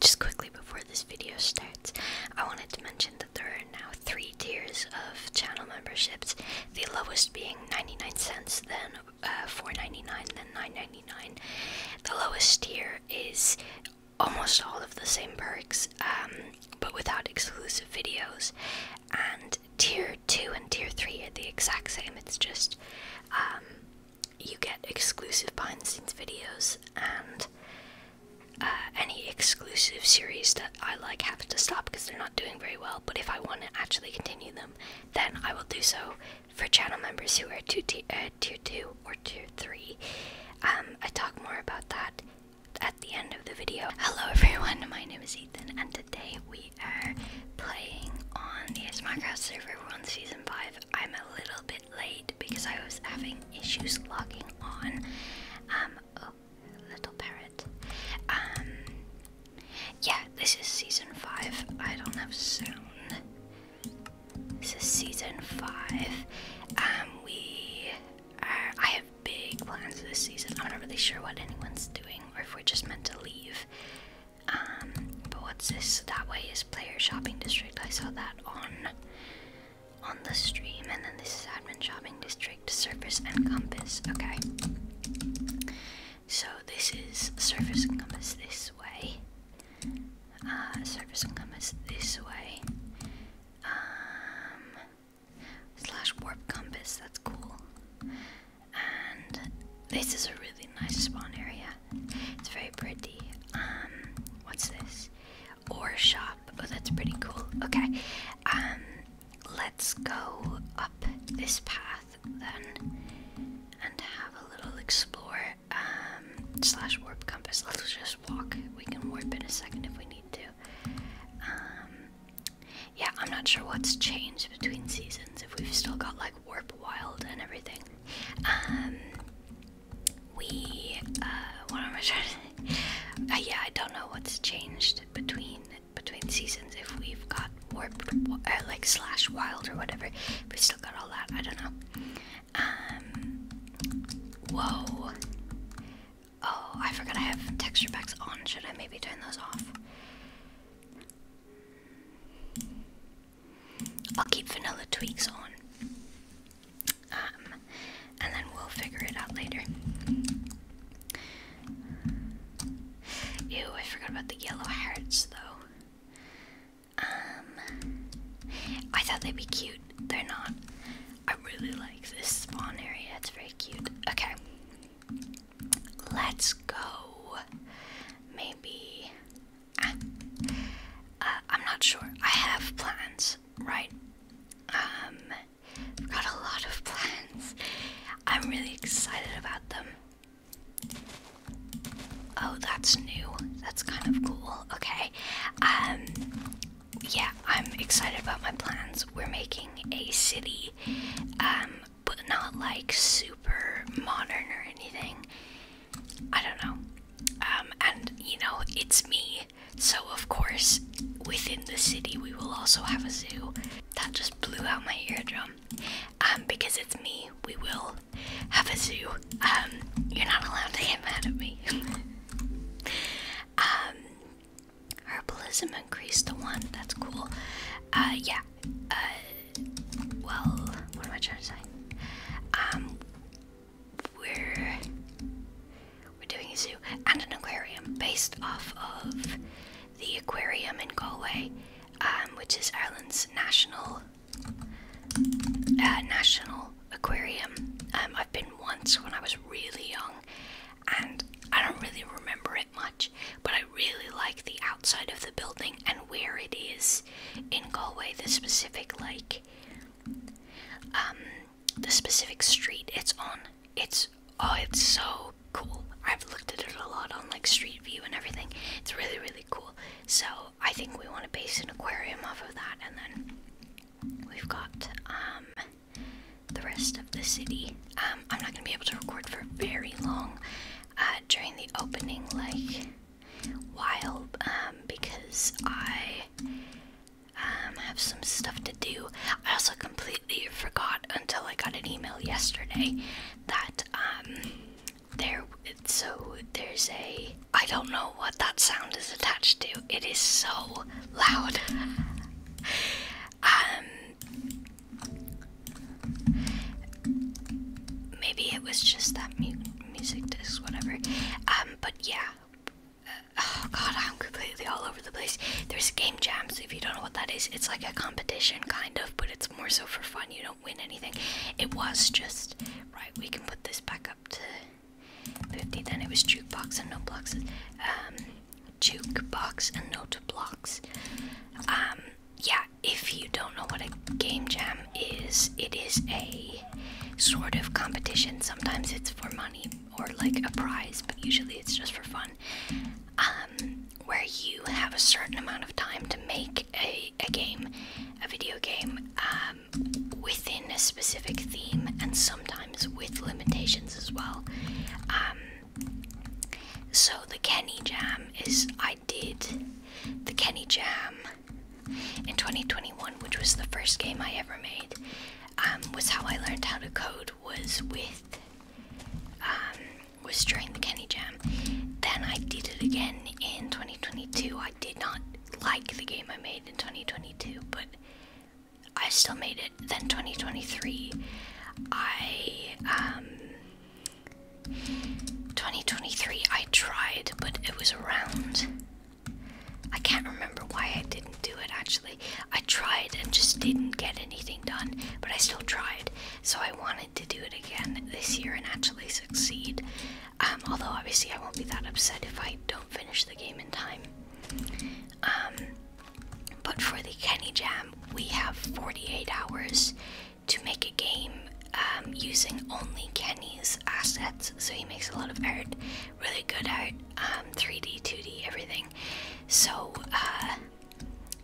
Just quickly before this video starts, I wanted to mention that there are now three tiers of channel memberships. The lowest being 99 cents, then uh, 4.99, then 9.99. The lowest tier is almost all of the same perks, um, but without exclusive videos, and tier 2 and tier 3 are the exact same, it's just um, you get exclusive behind the scenes videos, and uh, any exclusive series that I like have to stop because they're not doing very well. But if I want to actually continue them, then I will do so for channel members who are uh, tier 2 or tier 3. Um, I talk more about that at the end of the video. Hello everyone, my name is Ethan, and today we are playing on the Smogcraft server. on season 5. I'm a little bit late because I was having issues logging on. Um, oh, little parrot. Um, yeah, this is season 5. I don't have sound. This is season 5. Um, we I have big plans this season. I'm not really sure what anyone's doing or if we're just meant to leave. Um, but what's this? That way is player shopping district. I saw that on on the stream, and then this is admin shopping district, surface and compass. Okay. So this is surface and compass this way. Uh, surface and compass this way. Um, slash warp compass. That's cool and this is a really nice spawn area. It's very pretty. Um, what's this? Ore shop. Oh, that's pretty cool. Okay. Um, let's go up this path then, and have a little explore. Um, slash warp compass. Let's just walk. We can warp in a second if we need to. Um, yeah, I'm not sure what's changed between seasons if we've still got like Warp Wild and everything. Um, we, uh, what am I trying to uh, Yeah, I don't know what's changed between between seasons if we've got Warp, uh, like Slash Wild or whatever. We still got all that, I don't know. Um, whoa. Oh, I forgot I have texture packs on. Should I maybe turn those off? I'll keep vanilla tweaks on. Um, and then we'll figure it out later. Ew, I forgot about the yellow hearts though. Um, I thought they'd be cute. They're not. I really like this spawn area, it's very cute. Okay. Let's go. Maybe. Uh, I'm not sure. I have plans, right? Um, got a lot of plans. I'm really excited about them. Oh, that's new. That's kind of cool. Okay. Um, yeah, I'm excited about my plans. We're making a city. Um, but not like super modern or anything. I don't know. Um, and you know, it's me. So, of course, within the city, we will also have a zoo. That just blew out my eardrum. Um, because it's me, we will have a zoo. Um, you're not allowed to get mad at me. um, herbalism increased to one. That's cool. Uh, yeah. Uh, well, what am I trying to say? Um, we're we're doing a zoo and an aquarium based off of the aquarium in Galway, um, which is Ireland's national uh, national aquarium. Um, I've been once when I was really young, and I don't really remember it much, but I really like the outside of the building and where it is in Galway, the specific like um, the specific street it's on. It's oh it's so cool. I've looked at it a lot on like Street View and everything. It's really really cool. So I think we want to base an aquarium off of that and then we've got um, the rest of the city. Um, I'm not going to be able to record for very long uh, during the opening like wild um, because I um, have some stuff to do. I also completely forgot until I got an email yesterday that um, there so there's a I don't know what that sound is attached to. It is so loud. um Maybe it was just that music disc, whatever. Um, but yeah. Uh, oh god, I'm completely all over the place. There's game jams. If you don't know what that is, it's like a competition, kind of, but it's more so for fun. You don't win anything. It was just right. We can put this back up to fifty. Then it was jukebox and note blocks. Um, jukebox and note blocks. Um, yeah, if you don't know what a game jam is, it is a sort of competition. Sometimes it's for money or like a prize, but usually it's just for fun. Um, where you have a certain amount of time to make a, a game, a video game, um, within a specific theme and sometimes with limitations as well. Um, so the Kenny Jam is I did the Kenny Jam in 2021, which was the first game I ever made. Um, was how I learned how to code was with um, was during the Kenny Jam. Then I did it again in 2022. I did not like the game I made in 2022, but I still made it. Then 2023, I um, 2023, I tried, but it was around. I can't remember why I didn't do it actually. I tried and just didn't get anything done, but I still tried. So I wanted to do it again this year and actually succeed. Um, although, obviously, I won't be that upset if I don't finish the game in time. Um, but for the Kenny Jam, we have 48 hours to make a game um, using only Kenny's assets. So he makes a lot of art, really good art, 3D, um, 2D, everything. So uh,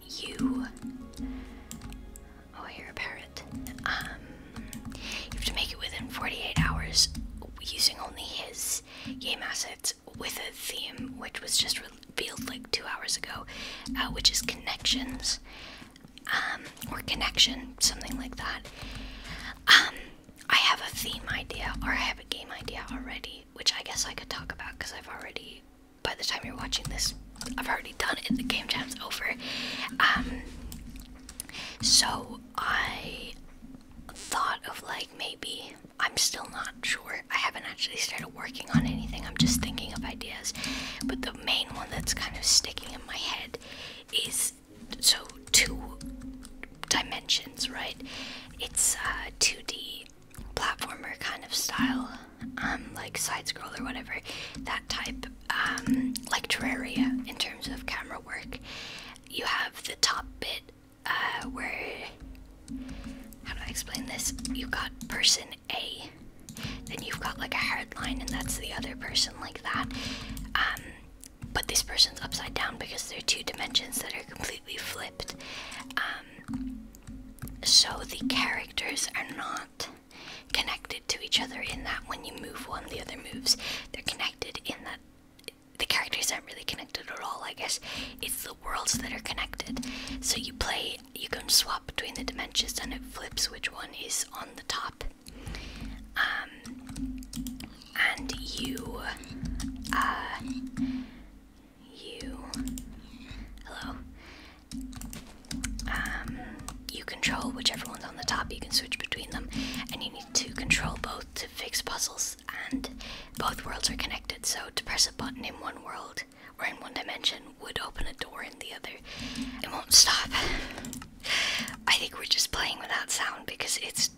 you. Oh, I hear a parrot. Um, you have to make it within 48 hours using only his game assets with a theme, which was just revealed like two hours ago, uh, which is connections, um, or connection, something like that. Um, I have a theme idea, or I have a game idea already, which I guess I could talk about because I've already, by the time you're watching this, I've already done it. The game jam's over. Um, so I thought of like maybe I'm still not sure. I haven't actually started working on anything. I'm just thinking of ideas. But the main one that's kind of sticking in my head is so two dimensions, right? It's a 2D platformer kind of style, um, like side scroll or whatever, that type, um, like Terraria in terms of camera work. You have the top bit, uh, where how do I explain this? You got person a, then you've got like a hard line, and that's the other person like that. Um, but this person's upside down because they are two dimensions that are completely flipped. Um, so the characters are not connected to each other in that when you move one, the other moves. They're connected in that the characters aren't really connected at all, I guess. It's the worlds that are connected. So you play, you can swap between the dimensions and it flips which one is on the top. Um, and you, uh, you, hello. Um, you control whichever one's on the top. You can switch between them, and you need to control both to fix puzzles. And both worlds are connected. So to press a button in one world or in one dimension would open a door in the other. It won't stop. I think we're just playing without sound because it's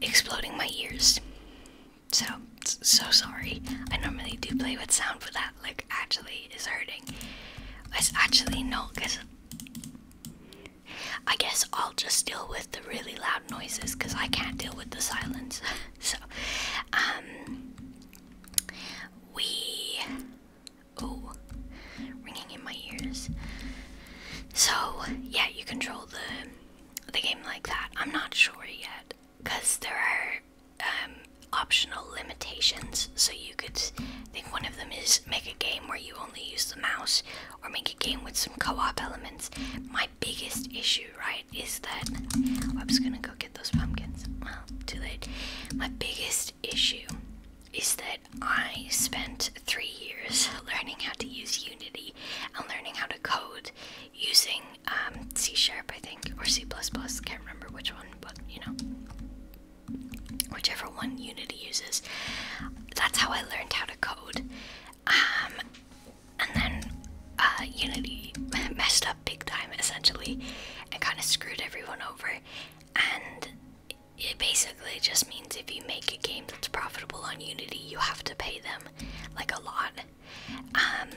exploding my ears. So, so sorry. I normally do play with sound, but that like actually is hurting. It's actually no, because I guess I'll just deal with the really loud noises because I can't deal with the silence. so, um, we. Oh, ringing in my ears. So yeah, you control the the game like that. I'm not sure yet, cause there are um, optional limitations. So you could think one of them is make a game where you only use the mouse, or make a game with some co-op elements. My biggest issue, right, is that oh, I was gonna go those pumpkins. Well, too late. My biggest issue is that I spent three years learning how to use Unity and learning how to code using um, C Sharp, I think, or C++. Can't remember which one, but you know, whichever one Unity uses. That's how I learned how to code. Um, and then uh, Unity messed up big time essentially and kind of screwed everyone over. And it basically just means if you make a game that's profitable on Unity, you have to pay them like a lot, um,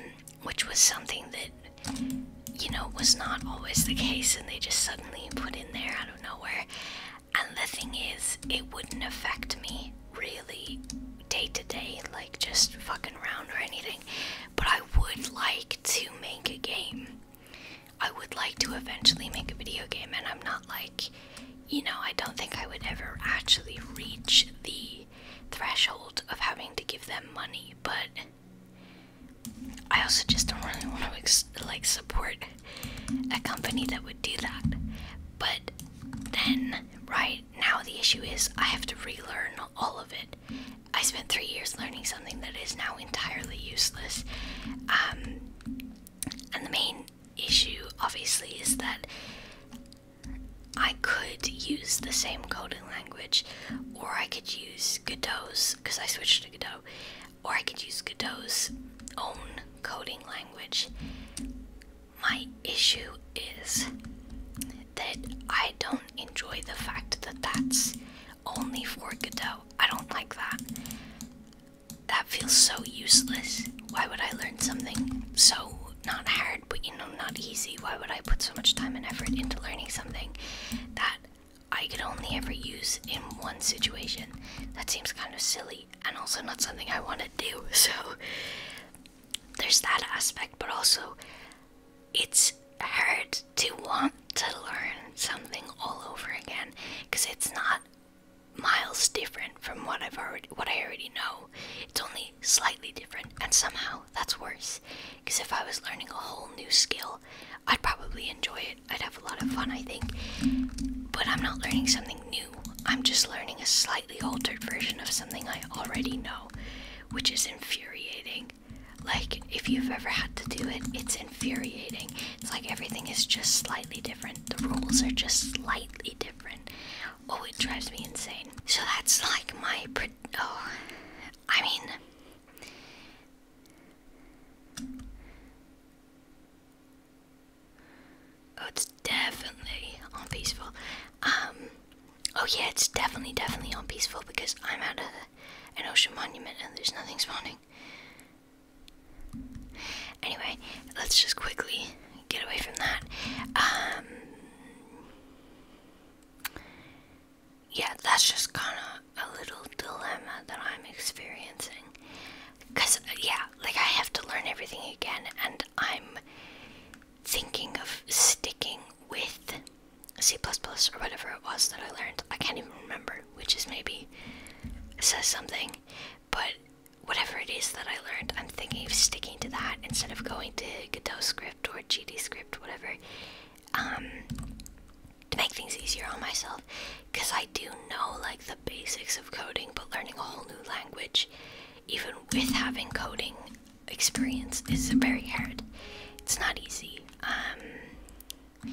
which was something that you know was not always the case, and they just suddenly put in there out of nowhere. And the thing is, it wouldn't affect me really day to day, like just fucking around or anything but I would like to make a game. I would like to eventually make a video game, and I'm not like, you know, I don't think I would ever actually reach the threshold of having to give them money, but I also just don't really want to like support a company that would do that. But then, right now, the issue is I have to relearn all of it. I spent three years learning something that is now entirely useless. Um, and the main issue, obviously, is that I could use the same coding language, or I could use Godot's, because I switched to Godot, or I could use Godot's own coding language. My issue is that I don't enjoy the fact that that's only for Godot. I don't like that. That feels so useless. Why would I learn something so not hard, but you know, not easy? Why would I put so much time and effort into learning something that I could only ever use in one situation? That seems kind of silly and also not something I want to do. So there's that aspect, but also it's hard to want to learn something all over again because it's not miles different from what I've already what I already know. It's only slightly different and somehow that's worse because if I was learning a whole new skill, I'd probably enjoy it. I'd have a lot of fun, I think. But I'm not learning something new. I'm just learning a slightly altered version of something I already know, which is infuriating. Like, if you've ever had to do it, it's infuriating. It's like everything is just slightly different, the rules are just slightly different. Oh, it drives me insane. So that's like my. Pre oh, I mean. Oh, it's definitely on peaceful. Um, oh yeah, it's definitely, definitely on peaceful because I'm out of an ocean monument and there's nothing spawning. Anyway, let's just quickly get away from that. Um, yeah, that's just kind of a little dilemma that I'm experiencing. Because, yeah, like I have to learn everything again, and I'm thinking of sticking with C++ or whatever it was that I learned, I can't even remember, which is maybe says something, but whatever it is that I learned, I'm thinking of sticking to that instead of going to Godot script or GD script, whatever, um, to make things easier on myself, because I do know, like, the basics of coding, but learning a whole new language, even with having coding experience is very hard. It's not easy. Um,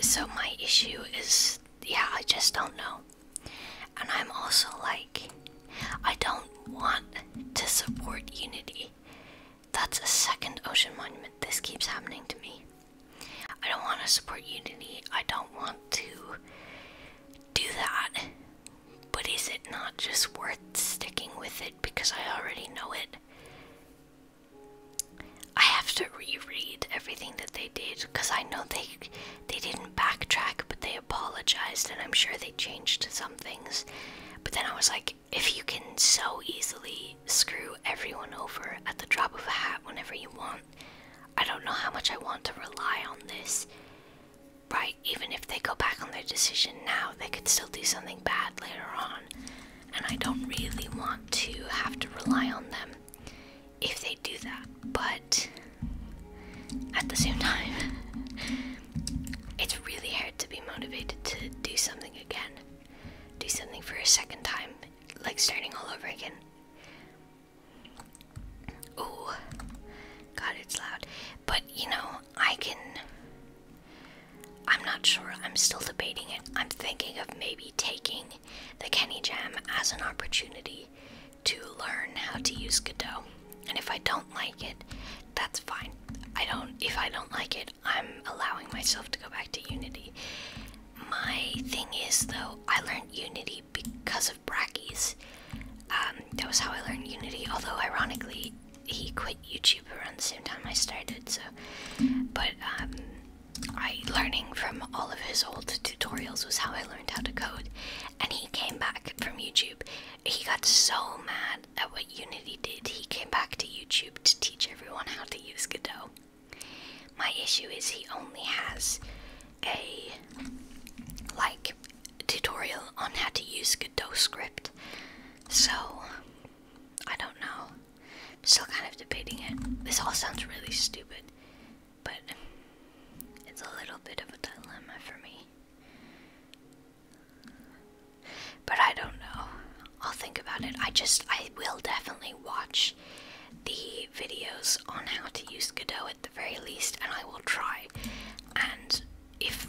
so my issue is, yeah, I just don't know. And I'm also like, I don't want to support Unity. That's a second ocean monument. This keeps happening to me. I don't want to support Unity. I don't want to do that. But is it not just worth sticking with it because I already know it? I have to reread everything that they did because I know they they didn't backtrack, but they apologized, and I'm sure they changed some things. But then I was like, if you can so easily screw everyone over at the drop of a hat whenever you want, I don't know how much I want to rely on this. Right, even if they go back on their decision now, they could still do something bad later on, and I don't really want to have to rely on them if they do that, but at the same time, it's really hard to be motivated to do something again, do something for a second time, like starting all over again. Oh, God, it's loud. But you know, I can. I'm not sure. I'm still debating it. I'm thinking of maybe taking the Kenny Jam as an opportunity to learn how to use Godot. And if I don't like it, that's fine. I don't. If I don't like it, I'm allowing myself to go back to Unity. My thing is, though, I learned Unity because of Brackies. Um, um, that was how I learned Unity. Although, ironically, he quit YouTube around the same time I started. So, but um, I learning from all of his old tutorials was how I learned how to code. And he came back from YouTube. He got so mad at what Unity did. He came back to YouTube to teach everyone how to use Godot. My issue is he only has a like tutorial on how to use Godot script. So, I don't know. still kind of debating it. This all sounds really stupid, but it's a little bit of a dilemma for me. But I don't know. I'll think about it. I just, I will definitely watch the videos on how to use Godot at the very least, and I will try. And if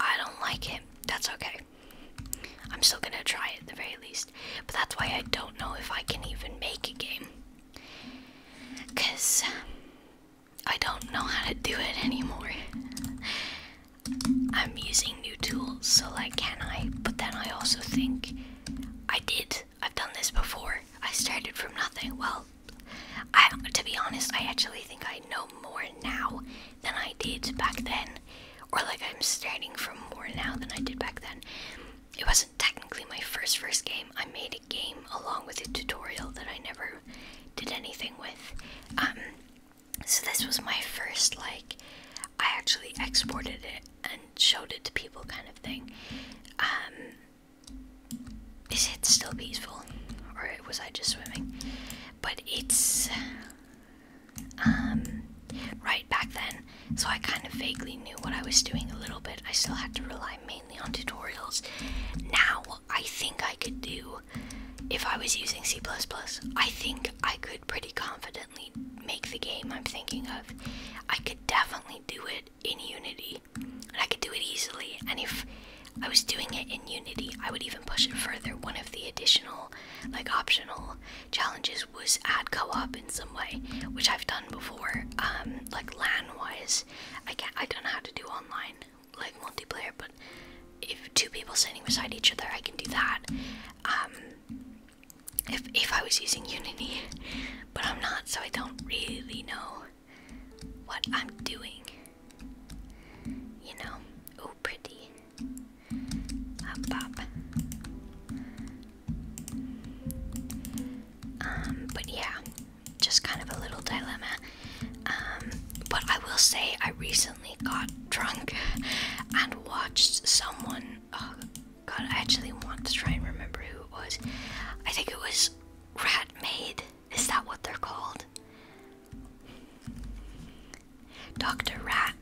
I don't like it. That's okay. I'm still gonna try it at the very least. But that's why I don't know if I can even make a game. Because I don't know how to do it anymore. I'm using new tools, so like, can I? But then I also think I did. I've done this before. I started from nothing. Well, I, to be honest, I actually think I know more now than I did back then, or like I'm starting from more now than I did back then. It wasn't technically my first first game. I made a game along with a tutorial that I never did anything with. Um, so this was my first like I actually exported it and showed it to people kind of thing. Um, is it still peaceful? Or was I just swimming? But it's um right back then, so I kind of vaguely knew what I was doing a little bit. I still had to rely mainly on tutorials. Now I think I could do if I was using C++, I think I could pretty confidently make the game I'm thinking of. I could definitely do it in Unity. And I could do it easily. And if I was doing it in Unity. I would even push it further. One of the additional, like optional challenges was add co-op in some way, which I've done before, um, like LAN-wise. I can't, I don't know how to do online, like multiplayer, but if two people sitting beside each other, I can do that. Um, if, if I was using Unity, but I'm not, so I don't really know what I'm doing. You know? Oh, pretty. Up, ah, up. Um, but yeah, just kind of a little dilemma. Um, but I will say, I recently got drunk and watched someone. Oh, God, I actually want to try and remember who it was. I think it was Rat Maid. Is that what they're called? Dr. Rat.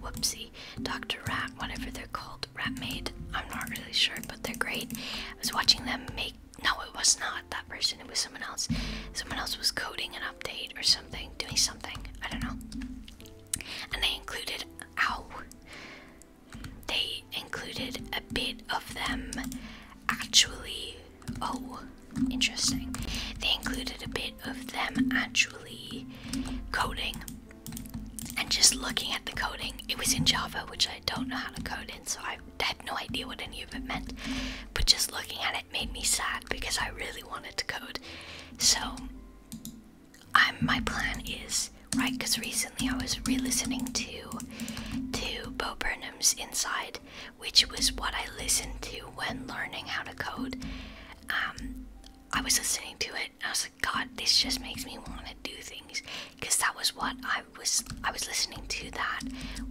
Whoopsie. Dr. Rat, whatever they're called. Rat Maid. I'm not really sure, but they're great. I was watching them make. No, it was not that person. It was someone else. Someone else was coding an update or something, doing something. I don't know. And they included. Ow. They included a bit of them actually. Oh, interesting. They included a bit of them actually coding and just looking at the coding. It was in Java, which I don't know how to code in, so I had no idea what any of it meant. But just looking at it made me sad because I really wanted to code. So, I'm, my plan is right because recently I was re-listening to to Bo Burnham's inside, which was what I listened to when learning how to code. Um, I was listening to it and I was like, God, this just makes me want to do things, because that was what I was. I was listening to that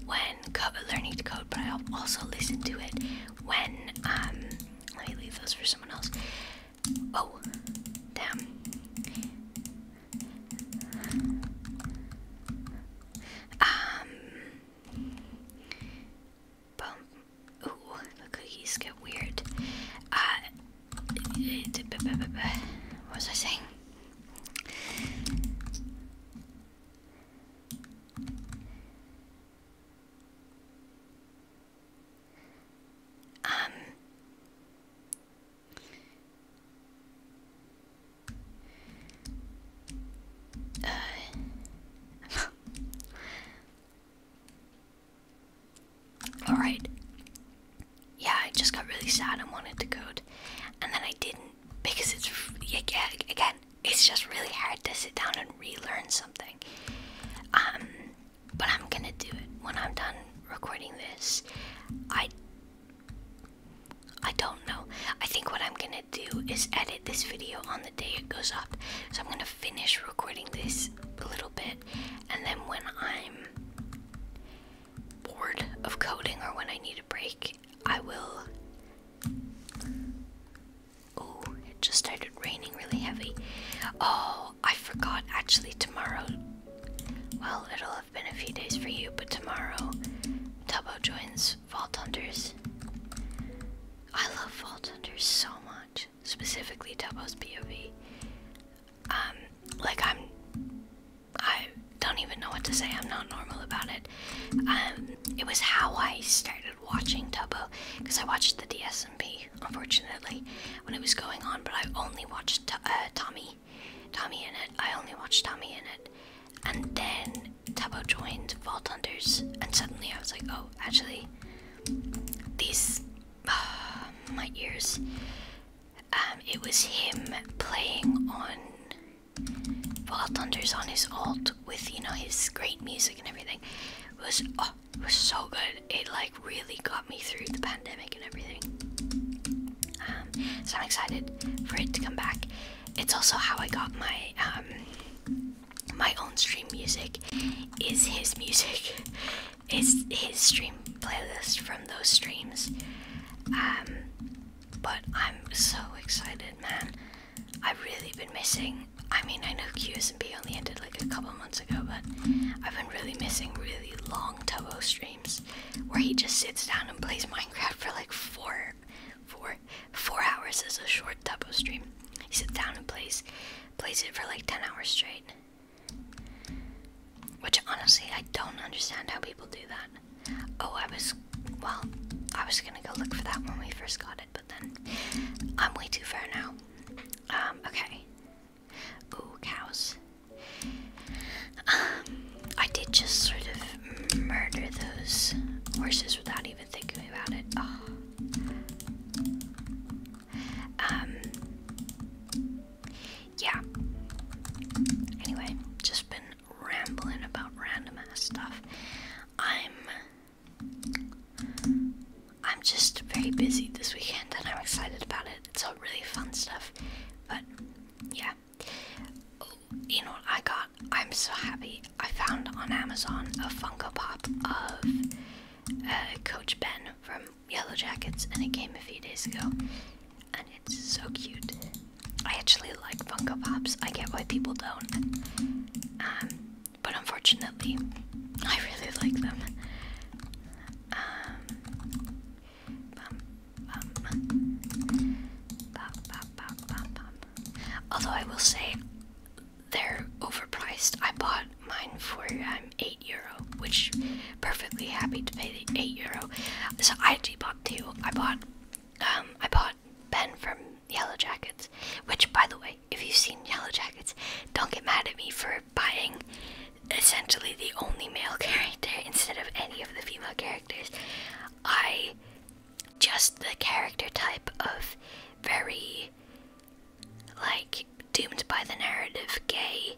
when co learning to code, but I also listened to it when. Um, let me leave those for someone else. Oh, damn. Um. Boom. Ooh, cookies get weird. Uh. What was I saying? Um. Uh, alright. Yeah, I just got really sad and wanted to code. And then I didn't because it's yeah again, it's just really hard to sit down and relearn something. Um, but I'm gonna do it when I'm done recording this. I I don't know. I think what I'm gonna do is edit this video on the day it goes up. So I'm gonna finish recording this a little bit, and then when I'm bored of coding or when I need a break, I will. Oh, it just started raining really heavy. Oh, I forgot actually tomorrow. Well, it'll been a few days for you, but tomorrow Tubbo joins Vault Hunters. I love Vault Hunters so much, specifically Tubbo's POV. Um, like I'm, I don't even know what to say. I'm not normal about it. Um, it was how I started watching Tubbo because I watched the DSMP, unfortunately, when it was going on. But I only watched uh, Tommy Tommy, in it. I only watched Tommy in it, and then Tabo joined Vault and suddenly I was like, oh, actually, these my ears. Um, it was him playing on Vault on his alt with you know his great music and everything. It was oh, it was so good. It like really got me through the pandemic and everything so I'm excited for it to come back. It's also how I got my um, my own stream music. Is his music? Is his stream playlist from those streams? Um, but I'm so excited, man. I've really been missing. I mean, I know QSB only ended like a couple months ago, but I've been really missing really long Tobo streams where he just sits down and plays Minecraft for like four, four, four hours as a short double stream. He sits down and plays, plays it for like ten hours straight. Which honestly, I don't understand how people do that. Oh, I was, well, I was gonna go look for that when we first got it, but then I'm way too far now. Um, okay. Ooh, cows. Um, I did just sort of murder those horses without even thinking about it. Ah. Um, yeah. Anyway, just been rambling about random ass stuff. I'm I'm just very busy this weekend and I'm excited about it. It's all really fun stuff. But yeah you know I got? I'm so happy. I found on Amazon a Funko Pop of uh, Coach Ben from Yellow Jackets, and it came a few days ago. And it's so cute. I actually like Funko Pops. I get why people don't. Um, but unfortunately, I really like them. Um, Although I will say they're overpriced. I bought mine for I'm um, 8 euro, which perfectly happy to pay the 8 euro. So I actually bought two. I bought um I bought Ben from Yellow Jackets, which by the way, if you've seen Yellow Jackets, don't get mad at me for buying essentially the only male character instead of any of the female characters. I just the character type of very like doomed by the narrative gay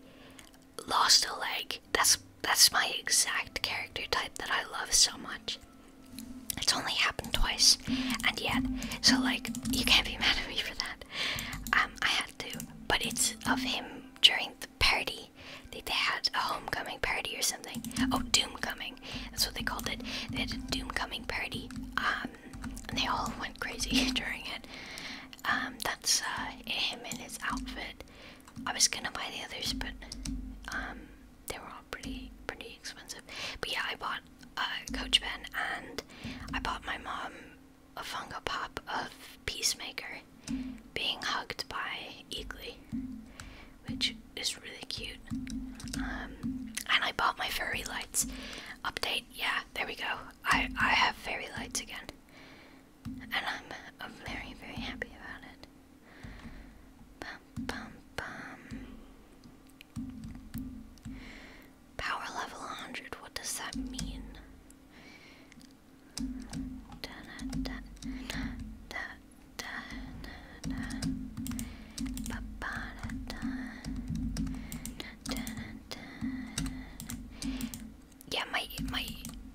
lost a leg. That's that's my exact character type that I love so much. It's only happened twice, and yet, so like, you can't be mad at me for that. Um, I had to, but it's of him during the party think they had a homecoming party or something. Oh, doomcoming. That's what they called it. They had a doomcoming party. Um, and they all went crazy during it. Um, that's uh, him in his outfit. I was gonna buy the others, but um, they were all pretty, pretty expensive. But yeah, I bought a uh, Coach Ben and I bought my mom a Funko Pop of Peacemaker being hugged by Eagly, which is really cute. Um, and I bought my fairy lights update. Yeah, there we go. I I have fairy lights again, and I'm I'm very very happy about it. Bum, bum, bum. Power level 100. What does that mean? yeah my my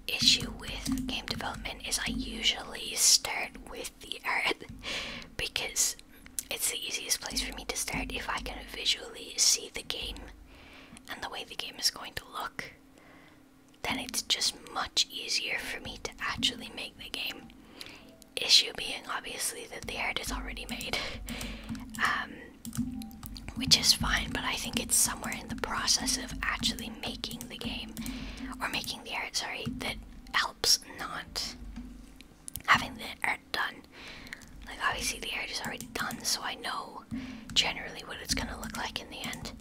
issue with game development is I usually start with the art because it's the easiest place for me to start if I can visually see the game and the way the game is going to look then it's just much easier for me to actually make the game. Issue being obviously that the art is already made, um, which is fine, but I think it's somewhere in the process of actually making the game, or making the art, sorry, that helps not having the art done. Like, obviously, the art is already done, so I know generally what it's gonna look like in the end,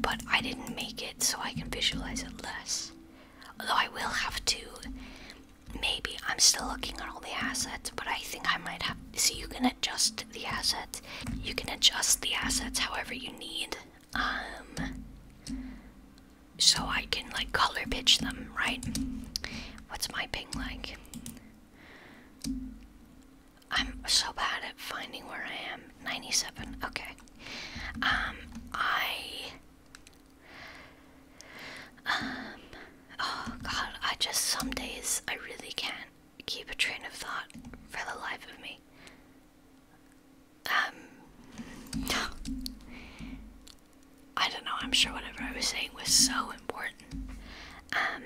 but I didn't make it so I can visualize it less. Although I will have to, maybe I'm still looking at all the assets, but I think I might have. See, you can adjust the assets. You can adjust the assets however you need. Um, so I can like color pitch them, right? What's my ping like? I'm so bad at finding where I am. 97. Okay. Um, I. Um, oh god, I just, some days I really can't keep a train of thought for the life of me. Um, I don't know, I'm sure whatever I was saying was so important. Um,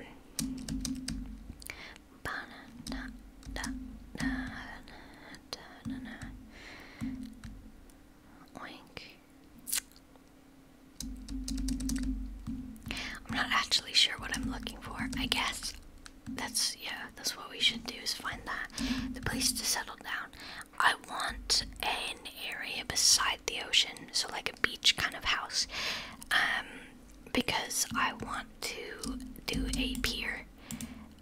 banana, I'm not actually sure what I'm looking for. I guess that's yeah, that's what we should do is find that the place to settle down. I want an area beside the ocean, so like a beach kind of house. Um because I want to do a pier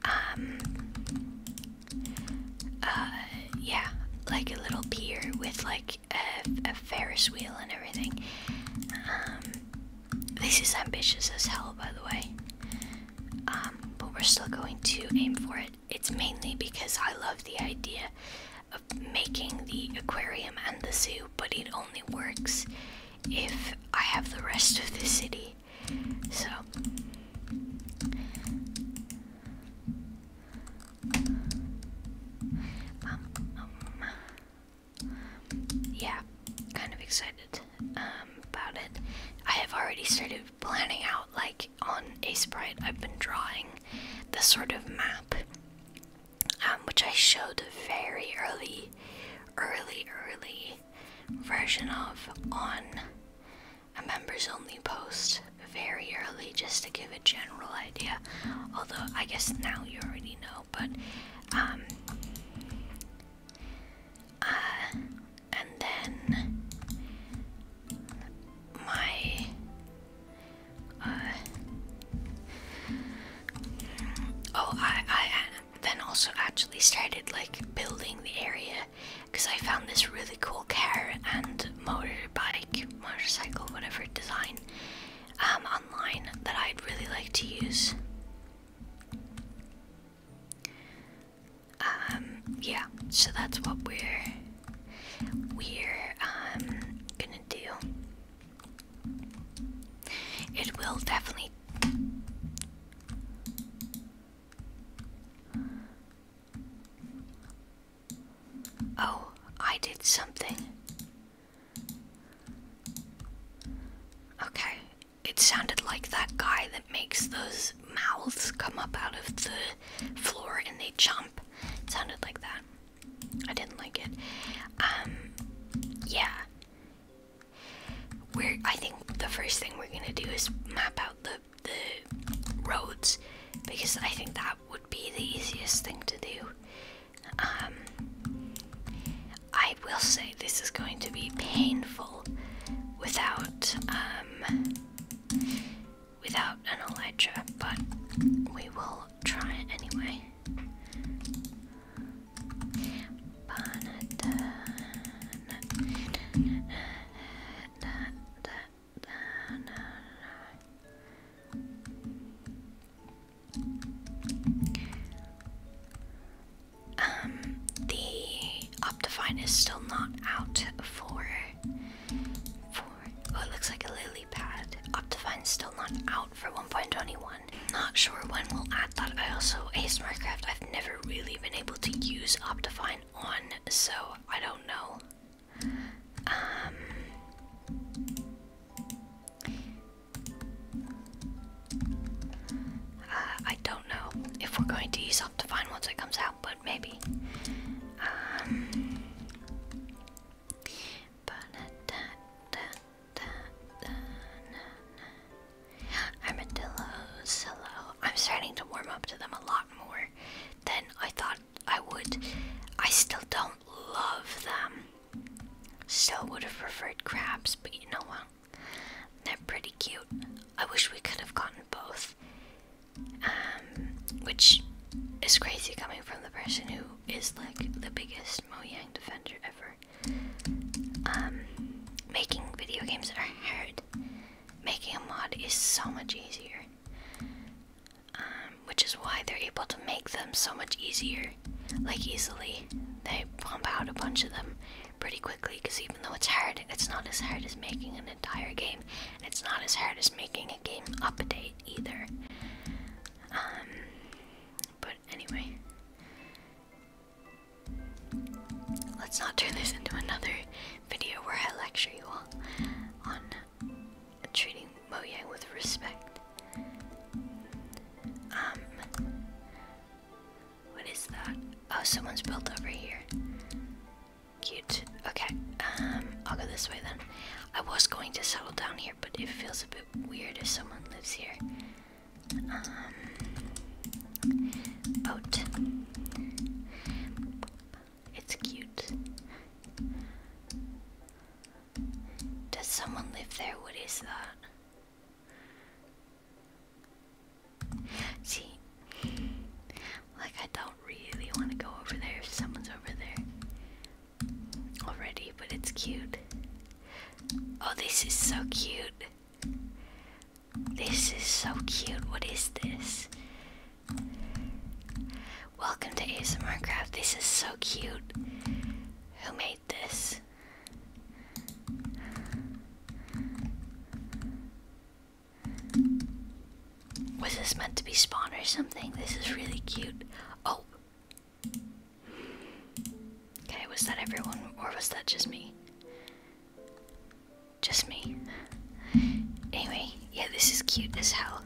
um, uh, yeah, like a little pier with like a, a Ferris wheel and everything. Um, this is ambitious as hell, by the way. Um, but we're still going to aim for it. It's mainly because I love the idea of making the aquarium and the zoo, but it only works if I have the rest of the city so um, um, yeah, kind of excited um, about it. I have already started planning out, like on a sprite, I've been drawing the sort of map, which I showed very early, early, early version of on a members only post very early just to give a general idea. Although, I guess now you already know, but um, uh, and then my uh, oh, I, I, then also actually started like building the area because I found this really cool car and motorbike, motorcycle, whatever design um, online that I'd really like to use. Um, yeah, so that's what we're we're um, gonna do. It will definitely Oh, I did something. Okay, it sounded like that guy that makes those mouths come up out of the floor and they jump. It sounded like that. I didn't like it. Um, yeah. We're I think the first thing we're gonna do is map out the the roads because I think that would be the easiest thing to do. Um, I will say this is going to be painful without um without an Elytra, but we will try it anyway. Um, the Optifine is still not out for for oh it looks like a lily pad. Optifine's still not out for 1.21. Not sure when we'll add that. I also Ace Minecraft. I've never really been able to use Optifine on, so I don't know. Um, uh, I don't know if we're going to use Optifine once it comes out, but maybe. Um, Armadillos, hello. I'm starting to warm up to them a lot more than I thought I would. I still don't love them. Still would have preferred crabs, but you know what? They're pretty cute. I wish we could have gotten both. Um, which is crazy coming from the person who is like the biggest Yang defender ever. Um, making video games that are hard. Making a mod is so much easier, um, which is why they're able to make them so much easier, like easily. They pump out a bunch of them pretty quickly because even though it's hard, it's not as hard as making an entire game, and it's not as hard as making a game update either. Um, but anyway, Let's not turn this into another video where I lecture you all on treating Yang with respect. Um, what is that? Oh, someone's built over here. Cute. Okay, um, I'll go this way then. I was going to settle down here, but it feels a bit weird if someone lives here. Um, boat. It's cute. Does someone live there? What is that? See, like I don't really want to go over there if someone's over there already, but it's cute. Oh, this is so cute. This is so cute. What is this? Welcome to ASMR Craft. This is so cute. Who made this? Was this meant to be spawn or something? This is really cute. Oh. Okay, was that everyone or was that just me? Just me. Anyway, yeah, this is cute as hell.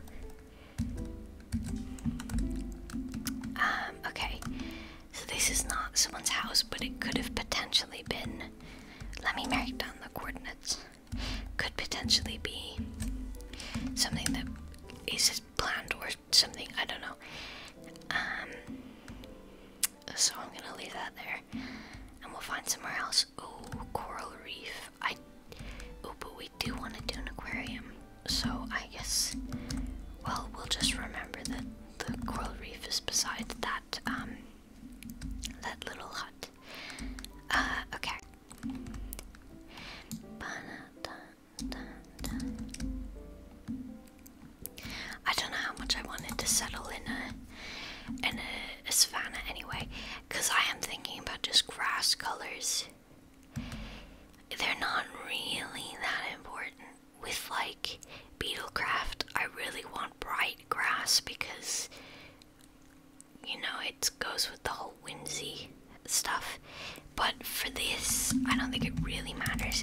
Um, okay. So this is not someone's house, but it could have potentially been. Let me mark down the coordinates. Could potentially be something that is planned or something. I don't know. Um, so I'm gonna leave that there. And we'll find somewhere else. Oh, coral reef. I Oh, but we do want to do an aquarium. So I guess well we'll just remember that the coral reef is beside that um that little hut. Uh okay. I don't know how much I wanted to settle in a in a, a savannah anyway, because I am thinking about just grass colors. They're not really that important. With like Beetlecraft, I really want bright grass because you know it goes with the whole whimsy stuff. But for this, I don't think it really matters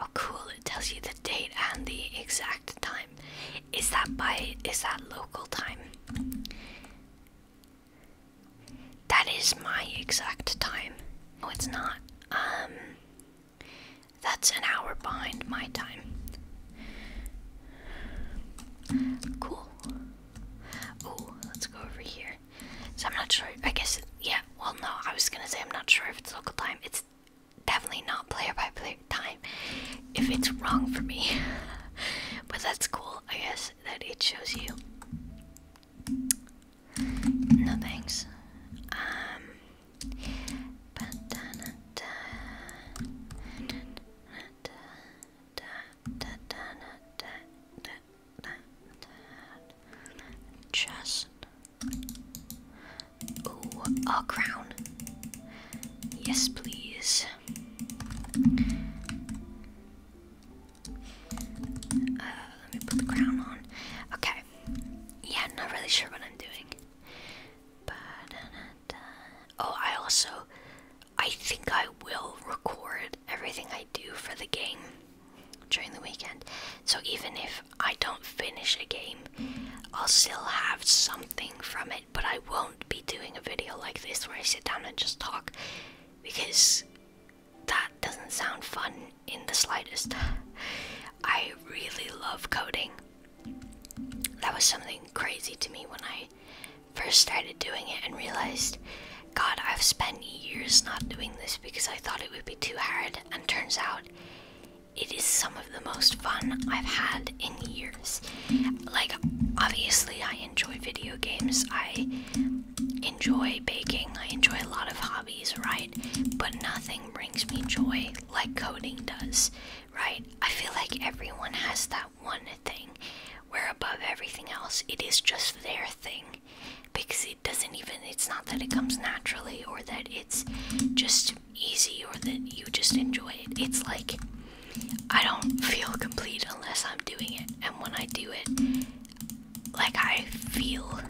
Oh, cool! It tells you the date and the exact time. Is that by? Is that local time? That is my exact time. No, it's not. Um, that's an hour behind my time. Cool. Oh, let's go over here. So I'm not sure. I guess. yeah. Well, no. I was gonna say I'm not sure if it's local time. It's definitely not player by player time if it's wrong for me. but that's cool, I guess, that it shows you. No thanks. Um, Chest. Ooh, a crown. Yes, please. Uh, let me put the crown on. Okay. Yeah, not really sure what I'm doing. oh, I also, I think I will record everything I do for the game during the weekend. So even if I don't finish a game, I'll still have something from it, but I won't be doing a video like this where I sit down and just talk because that doesn't sound fun in the slightest. I really love coding. That was something crazy to me when I first started doing it and realized, God, I've spent years not doing this because I thought it would be too hard, and turns out it is some of the most fun I've had in years. Like, obviously, I enjoy video games, I enjoy baking, I enjoy a lot of hobbies, right? But nothing brings me joy like coding does, right? I feel like everyone has that one thing where, above everything else, it is just their thing because it it doesn't even it's not that it comes naturally or that it's just easy or that you just enjoy it it's like i don't feel complete unless i'm doing it and when i do it like i feel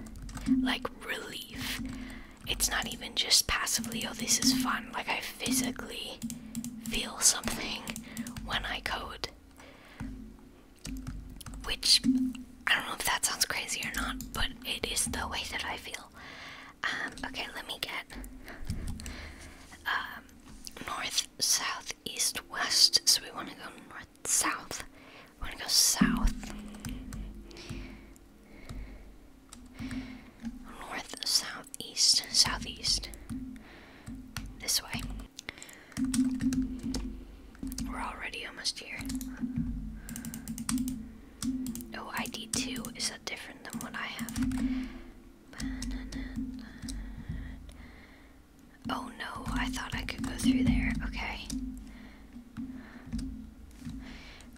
like relief it's not even just passively oh this is fun like i physically feel something when i code which I don't know if that sounds crazy or not, but it is the way that I feel. Um, okay, let me get um, north, south, east, west. So we want to go north, south. We want to go south. North, south, east, southeast. This way. We're already almost here. Oh, ID2. Is that different than what I have? Oh no, I thought I could go through there. Okay.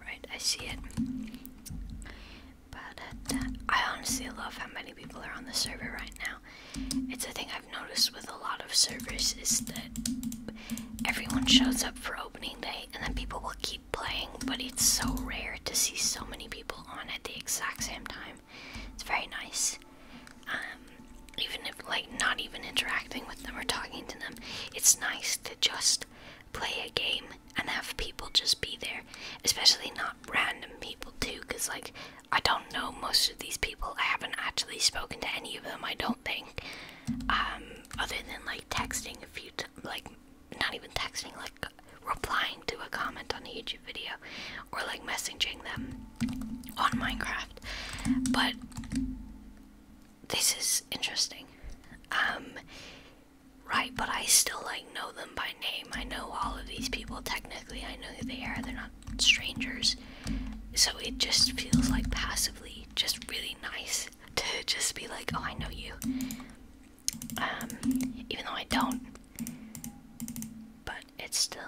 Right, I see it. But I honestly love how many people are on the server right now. It's a thing I've noticed with a lot of servers is that everyone shows up for a opening day, and then people will keep playing, but it's so rare to see so many people on at the exact same time. It's very nice. Um, even if, like, not even interacting with them or talking to them, it's nice to just play a game and have people just be there, especially not random people, too, because, like, I don't know most of these people. I haven't actually spoken to any of them, I don't think. Um, other than like texting a few, t like not even texting, like replying to a comment on a YouTube video, or like messaging them on Minecraft. But this is interesting. Um, right, but I still like know them by name. I know all of these people technically. I know who they are. They're not strangers. So it just feels like passively just really nice to just be like, oh, I know you. Um, even though I don't. But it's still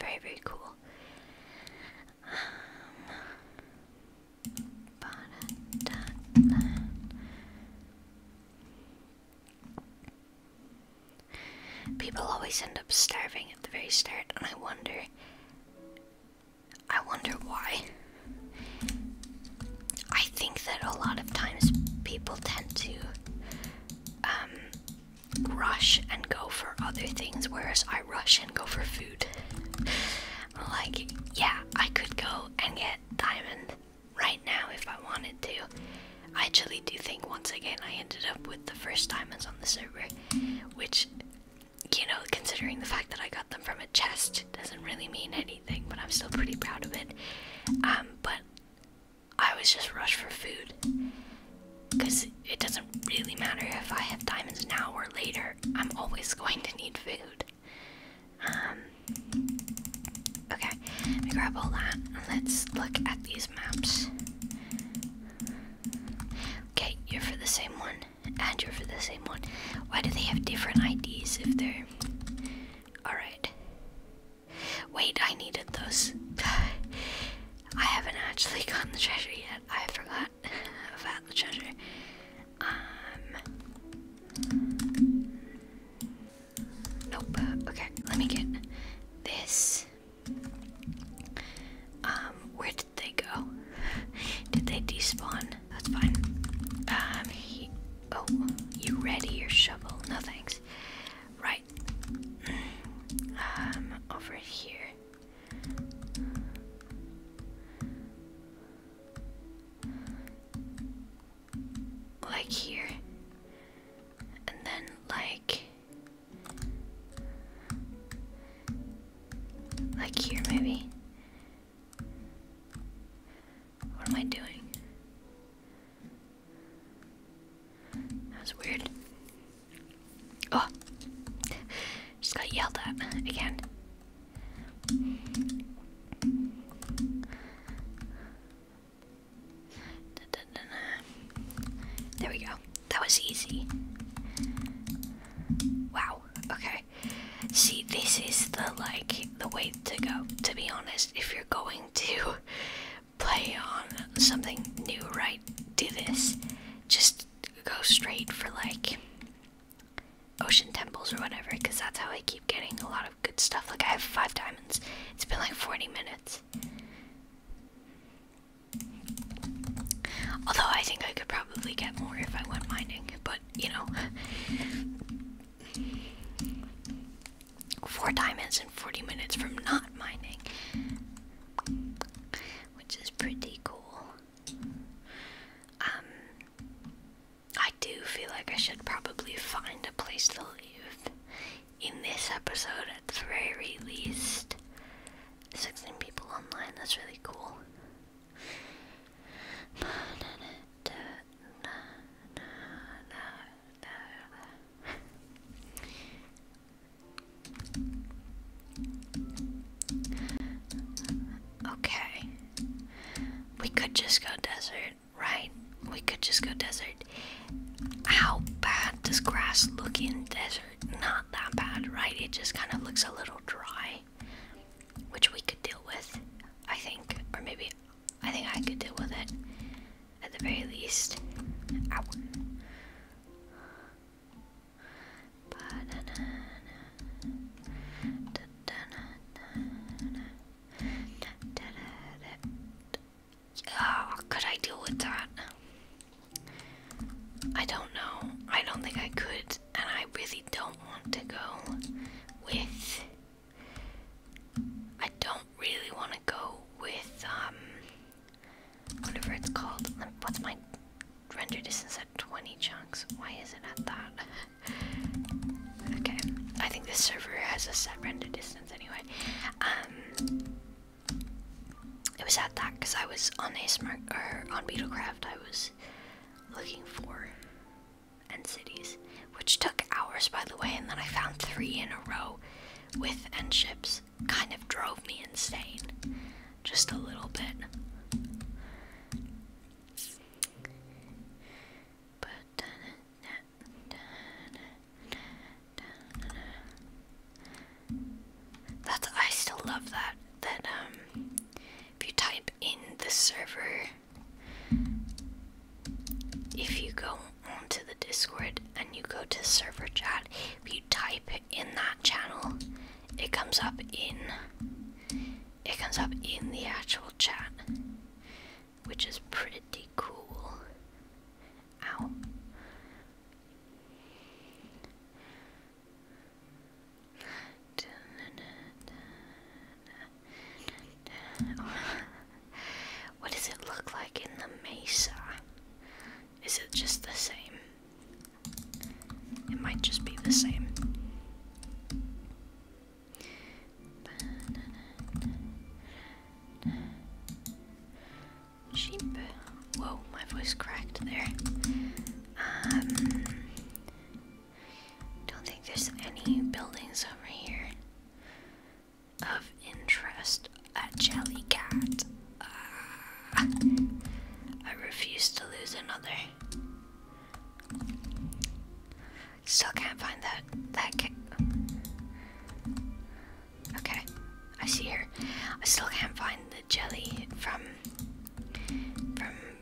very, very cool. Um, People always end up starving at the very start, and I wonder I wonder why. I think that a lot of times people tend to um, rush and go for other things, whereas I rush and go for food. like, yeah, I could go and get diamond right now if I wanted to. I actually do think once again I ended up with the first diamonds on the server, which you know, considering the fact that I got them from a chest, doesn't really mean anything, but I'm still pretty proud of it. Um, but I was just rushed for food. Because it doesn't really matter if I have diamonds now or later, I'm always going to need food. Um, okay, let me grab all that let's look at these maps. Okay, you're for the same one and you're for the same one. Why do they have different IDs if they're. Alright. Wait, I needed those. I haven't actually gotten the treasure yet. I forgot about the treasure. Um. Nope. Okay, let me get this. Um, where did they go? did they despawn? That's fine. Um, oh, you ready your shovel? No thanks. Right. Um, over here. Like here. And then, like. Like here, maybe. What am I doing? That was weird. Oh! Just got yelled at again. There we go. That was easy. Wow. Okay. See, this is the like the way to go. To be honest, if you're going to play on something new, right? Do this. Just go straight for like ocean temples or whatever, because that's how I keep getting a lot of good stuff. Like I have five diamonds. It's been like 40 minutes. Although I think I could probably get more if I went mining, but you know. Four diamonds in 40 minutes from not mining, which is pretty cool. Um, I do feel like I should probably find a place to live in this episode at the very least. 16 people online, that's really cool. Okay. We could just go desert, right? We could just go desert. How bad does grass look in desert? Not that bad, right? It just kind of looks a little dry which we could deal with, I think, or maybe I think I could deal with it at the very least. Ow. Oh, could I deal with that? I don't know. I don't think I could and I really don't want to go with. I don't really want to go with, um, whatever it's called. What's my render distance at 20 chunks? Why is it at that? okay, I think this server has a set render distance anyway. Um, it was at that because I was on a smart or on Beetlecraft. I was looking for and cities, which took hours by the way, and then I found three in a row with end ships. Kind of drove me insane. Just a little bit. But that's I still love that that um if you type in the server, if you go onto the Discord and you go to server chat, if you type in that channel, it comes up in it comes up in the actual chat, which is pretty cool. Ow. What does it look like in the mesa? Is it just the same? It might just be the same. Whoa, my voice cracked there. Um, don't think there's any buildings over here of interest. A jelly cat. Uh, I refuse to lose another. Still can't find that that Okay, I see her. I still can't find the jelly from from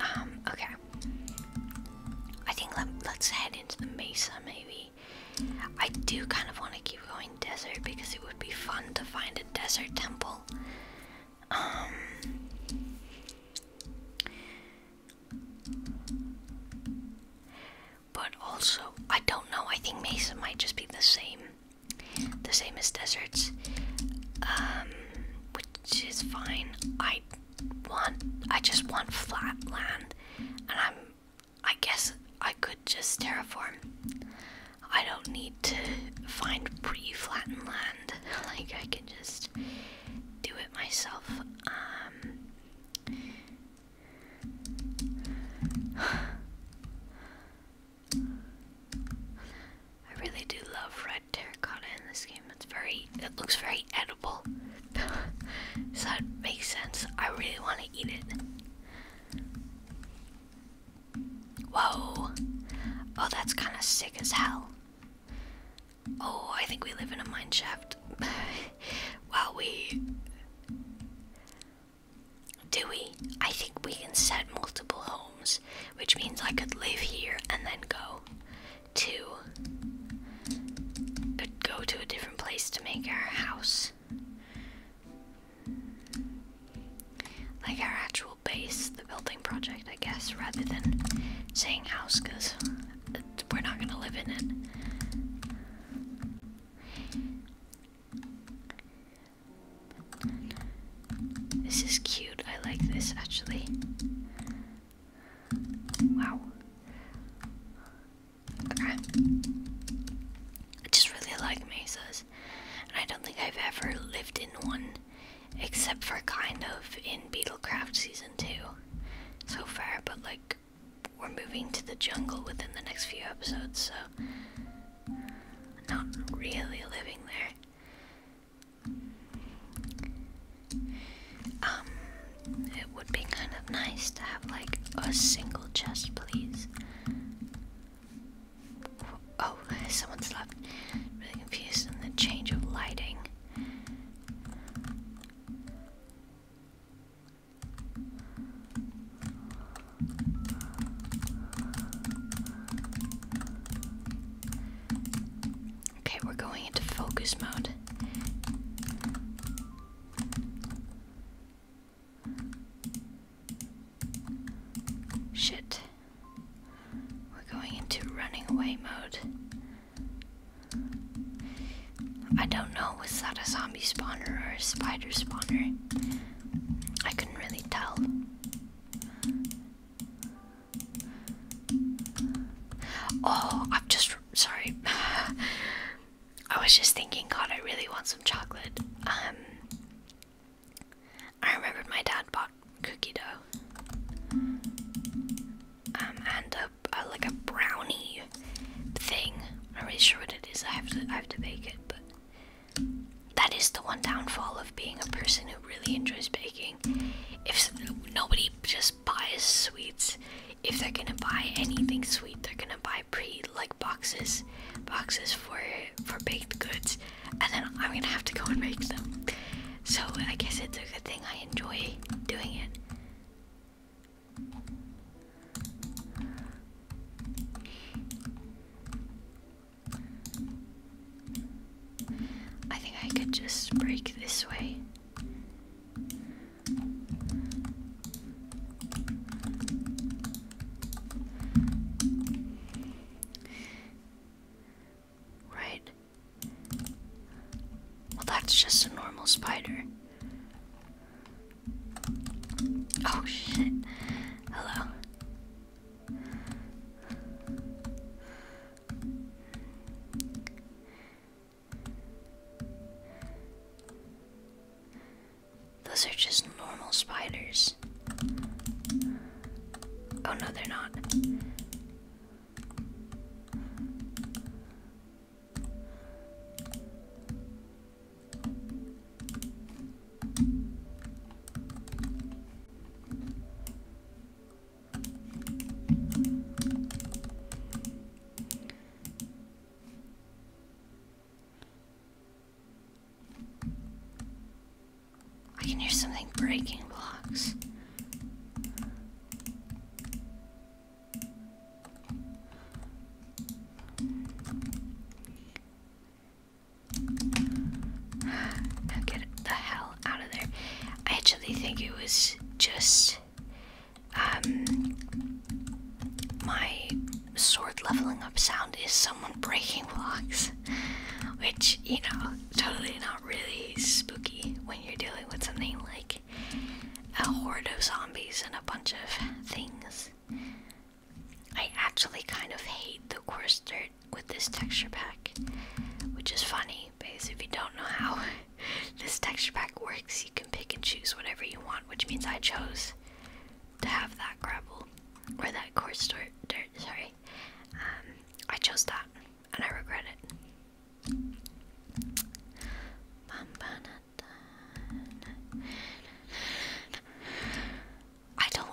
Um, okay. I think let, us head into the mesa, maybe. I do kind of want to keep going desert because it would be fun to find a desert temple. Um. But also, I don't know. I think mesa might just be the same, the same as deserts. Um, which is fine. I want I just want flat land and I'm I guess I could just terraform. I don't need to find pre-flattened land. like I can just do it myself. Um, I really do love red terracotta in this game. It's very, it looks very edible. so that makes sense. I really want to eat it. Whoa. Oh, that's kind of sick as hell. Oh, I think we live in a mine shaft. well, we. Do we? I think we can set multiple homes which means I could live here and then go to go to a different place to make our house. Like our actual base, the building project, I guess, rather than saying house because we're not gonna live in it. This is cute. I like this actually. Wow. Okay. It just really like mesas. And I don't think I've ever lived in one except for kind of in Beetlecraft season 2 so far, but like we're moving to the jungle within the next few episodes, so not really living there. Um, it would be kind of nice to have like a single chest, please. Oh, someone's left. Really confused in the change of lighting. Okay, we're going into focus mode. Shit. We're going into running away mode. I don't know, was that a zombie spawner or a spider spawner? I couldn't really tell. Oh, I'm just sorry. I was just thinking, God, I really want some chocolate. Um, I remembered my dad bought cookie dough, um, and a, like a brownie thing. I'm not really sure what it is. I have to, I have to bake it, but that is the one downfall of being a person who really enjoys baking. If nobody just buys sweets, if they're gonna buy anything sweet, they're gonna buy pre like boxes, boxes for for baked goods, and then I'm gonna have to go and make them. So I guess it's a good thing I enjoy doing it. I think I could just break this way. Right. Well, that's just a normal spider. Oh shit. Hello. Those are just normal spiders. Oh no, they're not. I can hear something breaking blocks get the hell out of there. I actually think it was just um my sword leveling up sound is someone breaking blocks. Which, you know, totally not really spooky when you're dealing with something like a horde of zombies and a bunch of things. I actually kind of hate the course dirt with this texture pack, which is funny because if you don't know how this texture pack works, you can pick and choose whatever you want, which means I chose to have that gravel or that coarse dirt. Sorry, um, I chose that, and I regret it. I don't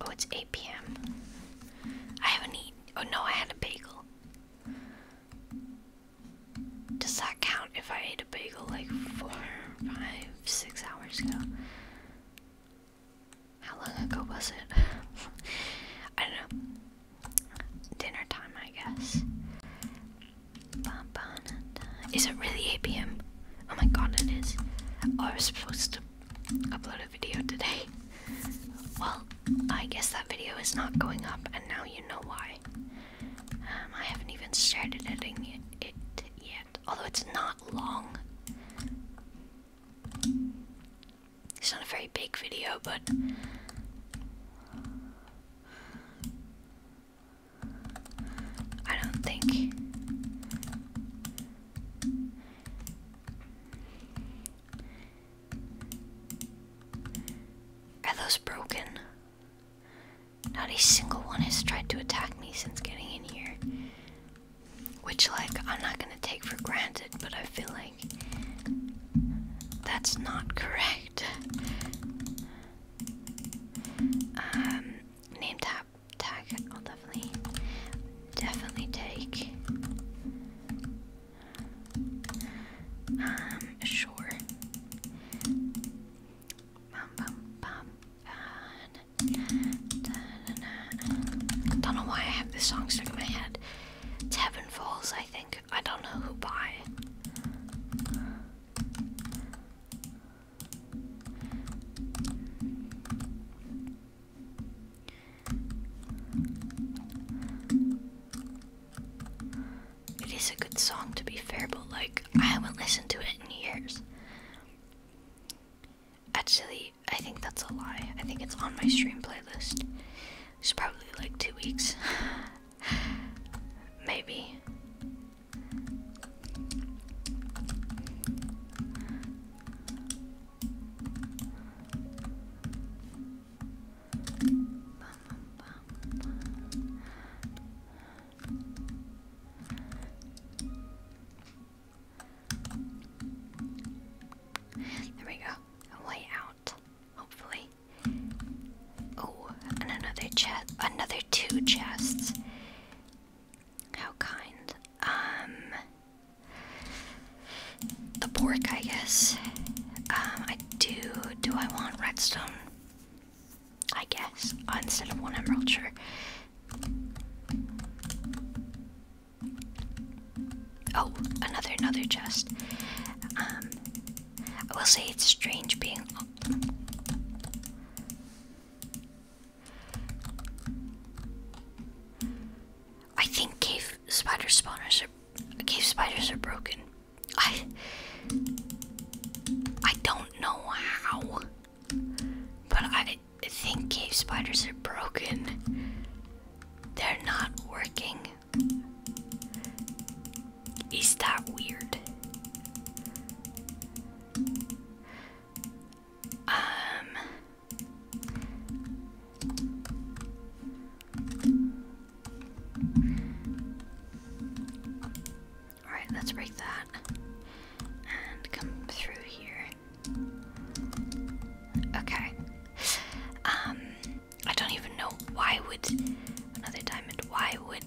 Oh, it's 8 p.m. I haven't eaten. Oh no, I had a bagel. Does that count if I ate a bagel like four, five, six hours ago? How long ago was it? I don't know. Dinner time, I guess. Is it really 8 pm? Oh my god, it is. Oh, I was supposed to upload a video today. Well, I guess that video is not going up, and now you know why. Um, I haven't even started editing it yet, although it's not long. It's not a very big video, but I don't think. Are those broken? Not a single one has tried to attack me since getting in here. Which, like, I'm not gonna take for granted, but I feel like that's not correct. Um, name tap tag. I'll definitely, definitely take. Um, sure. Bum, Don't know why I have this song stuck in my head. Heaven Falls, I think. I don't know who by. It is a good song to be fair, but like I haven't listened to it in years. Actually, I think that's a lie. I think it's on my stream playlist. It's probably like two weeks. Maybe. There we go. way out, hopefully. Oh, and another chest. Another two chests. How kind. Um, the pork, I guess. Um, I do. Do I want redstone? I guess instead of one emerald, sure. Oh, another another chest. Um, I will say it's strange being. I think cave spider spawners cave spiders are broken. I I don't know how, but I think cave spiders are broken. They're not working. Is that weird? Um. All right, let's break that and come through here. Okay. Um, I don't even know why would another diamond. Why would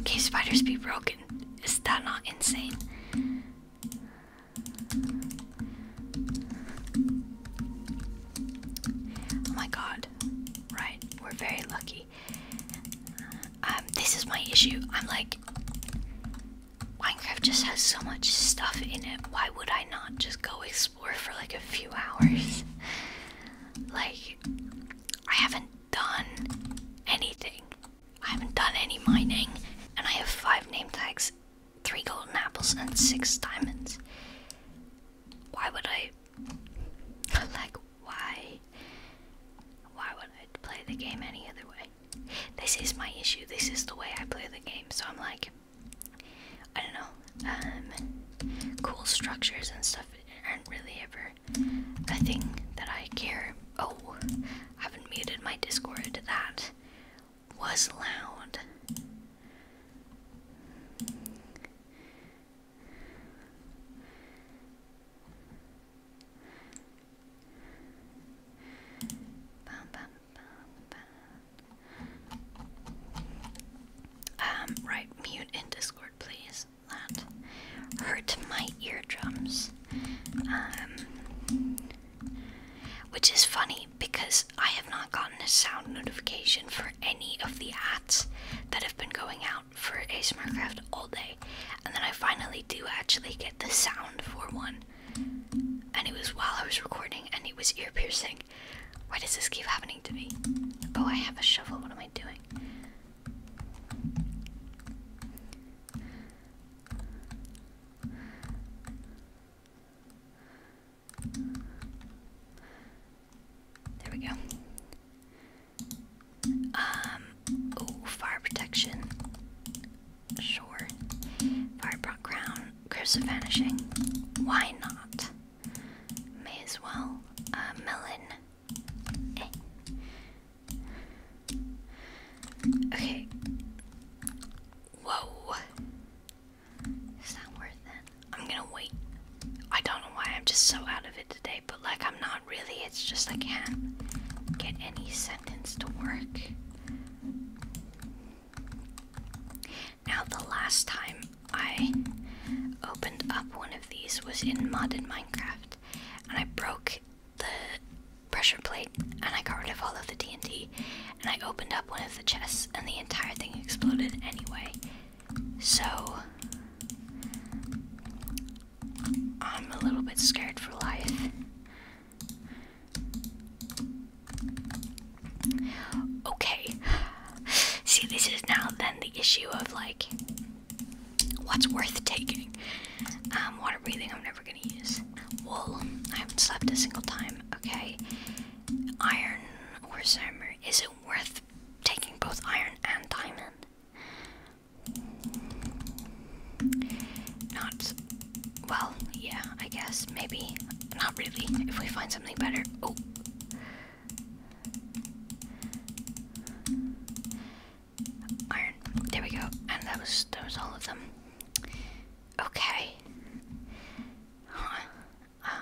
okay spiders be broken? is that not insane? Oh my god. Right, we're very lucky. Um, this is my issue. I'm like, Minecraft just has so much stuff in it. Why would I not just go explore for like a few hours? like, I haven't done anything I haven't done any mining, and I have five name tags, three golden apples, and six diamonds. Why would I. like, why? Why would I play the game any other way? This is my issue. This is the way I play the game. So I'm like, I don't know. Um, cool structures and stuff aren't really ever a thing that I care. Oh, I haven't muted my Discord. That was loud. Um, right, mute in Discord, please that hurt my eardrums. Um, which is funny because I have not gotten a sound notification for any of the ads that have been going out for ASMR Craft all day. And then I finally do actually get the sound for one. And it was while I was recording and it was ear piercing. Why does this keep happening to me? Oh, I have a shovel. What am I doing? There we go. Um, oh, fire protection. Sure. Firebrock crown. Curse vanishing. Why not? May as well. Uh, melon. Okay. Whoa. It's not worth it. I'm gonna wait. I don't know why I'm just so out of it today, but like I'm not really. It's just I can't get any sentence to work. Now, the last time I opened up one of these was in modded Minecraft, and I broke the pressure plate and I got rid of all of the TNT and I opened up one of the chests and the entire thing exploded anyway. So I'm a little bit scared for life. Okay. See, this is now then the issue of like What's worth taking? Um, water breathing, I'm never gonna use. Wool, I haven't slept a single time. Okay. Iron or armor. Is it worth taking both iron and diamond? Not. Well, yeah, I guess. Maybe. Not really. If we find something better. Oh iron. There we go. And that was that was all of them. Okay. Um,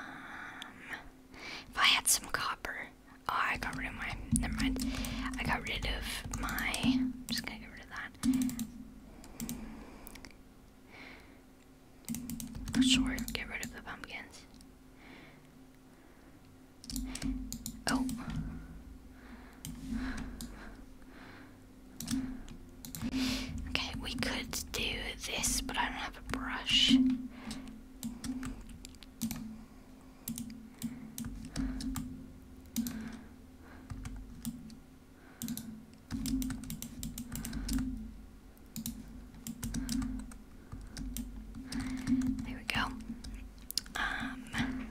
if I had some copper. Oh, I got rid of my. Never mind. I got rid of my. I'm just gonna get rid of that. Sure, get rid of the pumpkins. Oh. Okay, we could do this, but I don't have a brush. There we go. Um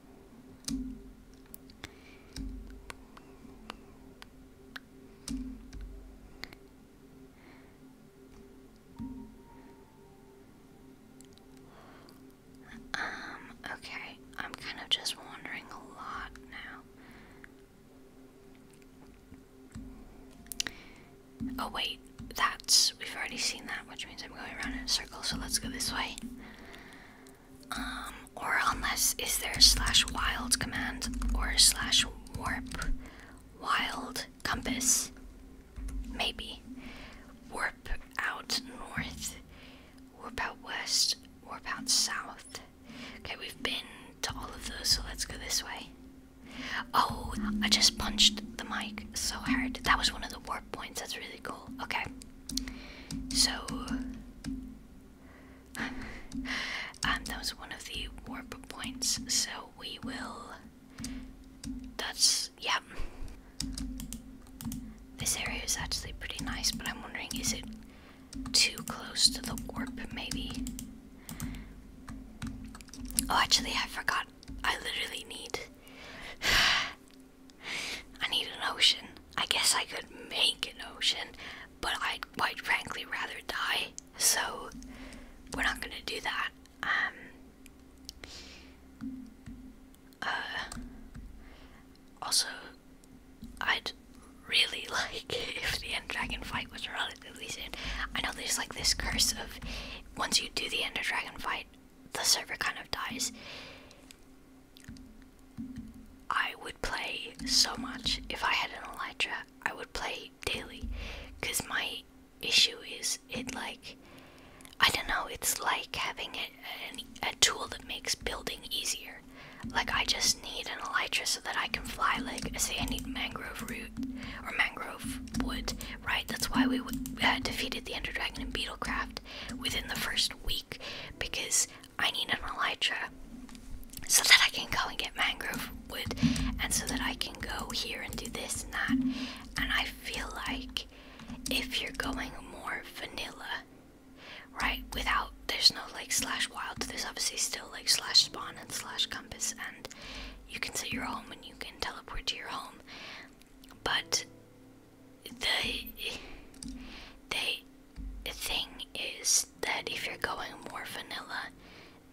Um, okay, I'm kind of just wandering a lot now. Oh, wait, that's. We've already seen that, which means I'm going around in a circle, so let's go this way. Um, or unless is there slash wild command or slash warp wild compass? Maybe. Warp out north, warp out west, warp out south. Okay, we've been to all of those, so let's go this way. Oh, I just punched the mic so hard. That was one of the warp points. That's really cool. Okay. So, um, that was one of the warp points. So we will. That's yeah. This area is actually pretty nice, but I'm wondering is it too close to the warp? Maybe. Oh, actually, I forgot. I literally need I need an ocean. I guess I could make an ocean, but I'd quite frankly rather die, so we're not gonna do that. Um, uh, also, I'd really like if the End Dragon fight was relatively soon. I know there's like this curse of once you do the Ender Dragon fight, the server kind of dies. I would play so much if I had an Elytra. I would play daily because my issue is it like I don't know, it's like having a, a, tool that makes building easier. Like, I just need an elytra so that I can fly. Like, say, I need mangrove root or mangrove wood, right? That's why we uh, defeated the Ender Dragon in Beetlecraft within the first week because I need an Elytra so that I can go and get mangrove wood and so that I can go here and do this and that. And I feel like if you're going more vanilla, right, without there's no like slash wild, there's obviously still like slash spawn and slash compass, and you can set your home and you can teleport to your home, but the they thing is that if you're going more vanilla,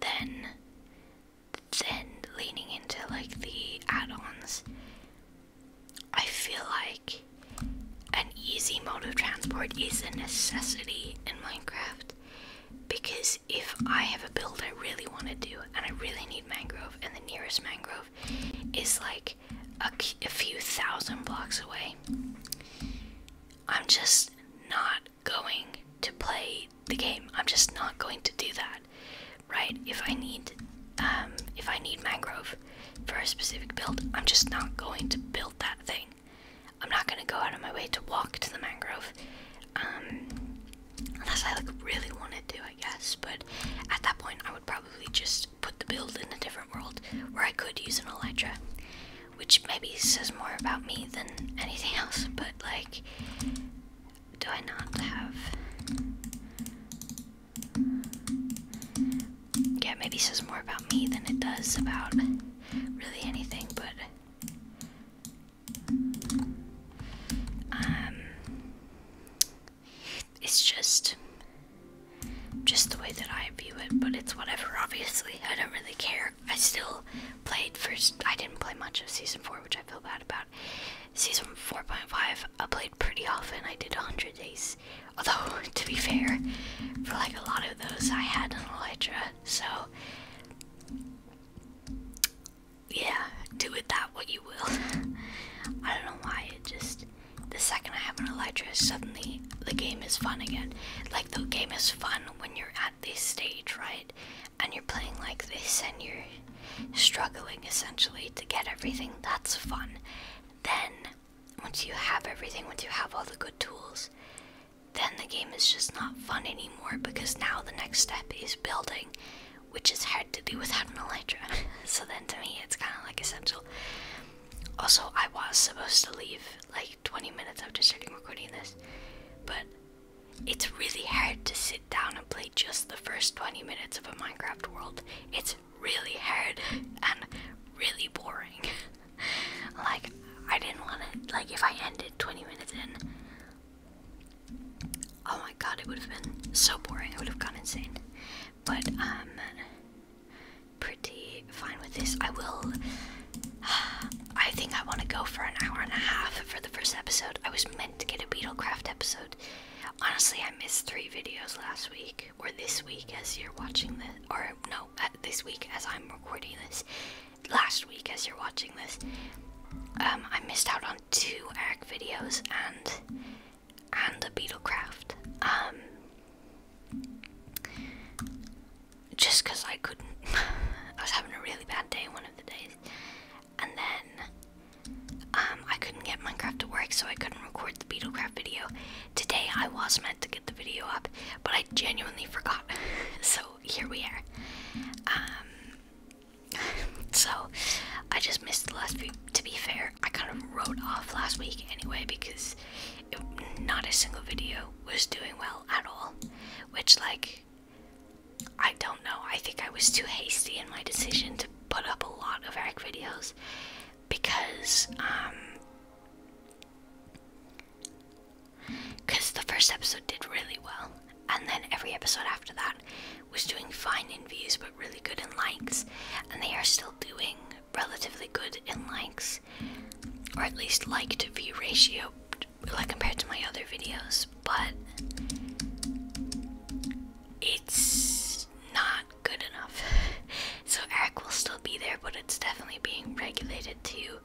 then then leaning into like the add-ons, I feel like an easy mode of transport is a necessity in Minecraft because if I have a build I really want to do and I really need mangrove and the nearest mangrove is like a, few thousand blocks away. I'm just not going to play the game. I'm just not going to do that, right? If I need, um, if I need mangrove for a specific build, I'm just not going to build that thing. I'm not going to go out of my way to walk to the mangrove, um, unless I like really wanted to, I guess. But at that point, I would probably just put the build in a different world where I could use an elytra, which maybe says more about me than anything else, but like, do I not have. Yeah, maybe says more about me than it does about really anything, but. Um, it's just just the way that I view it, but it's whatever, obviously. I don't really care. I still played first I didn't play much of season four, which I feel bad about. Season four point five I played pretty often. I did hundred days. Although to be fair, for like a lot of those I had an Elytra, so yeah, do with that what you will. I don't know why it just the second I have an Elytra, suddenly the game is fun again. Like the game is fun when you're at this stage, right? And you're playing like this and you're struggling essentially to get everything. That's fun. Then, once you have everything, once you have all the good tools, then the game is just not fun anymore because now the next step is building, which is hard to do without an Elytra. so then to me, it's kind of like essential. Also, I was supposed to leave like 20 minutes after starting recording this, but it's really hard to sit down and play just the first 20 minutes of a Minecraft world. It's really hard and really boring. like, I didn't want to, like, if I ended 20 minutes in, oh my god, it would have been so boring. I would have gone insane. But, um, pretty fine with this. I will. I think I want to go for an hour and a half for the first episode. I was meant to get a Beetlecraft episode. Honestly, I missed three videos last week, or this week as you're watching this, or no, uh, this week as I'm recording this, last week as you're watching this. Um, I missed out on two Eric videos, and and a Beetlecraft. Um, just because I couldn't. I was having a really bad day one of the days. And then um, I couldn't get Minecraft to work, so I couldn't record the Beetlecraft video. Today I was meant to get the video up, but I genuinely forgot. so here we are. Um, so I just missed the last few. To be fair, I kind of wrote off last week anyway because not a single video was doing well at all. Which, like, I don't know. I think I was too hasty in my decision to put up a lot of Eric videos because, um, because the first episode did really well, and then every episode after that was doing fine in views but really good in likes, and they are still doing relatively good in likes, or at least like to view ratio, like compared to my other videos, but it's not good enough. so Eric will still be there, but it's definitely being regulated to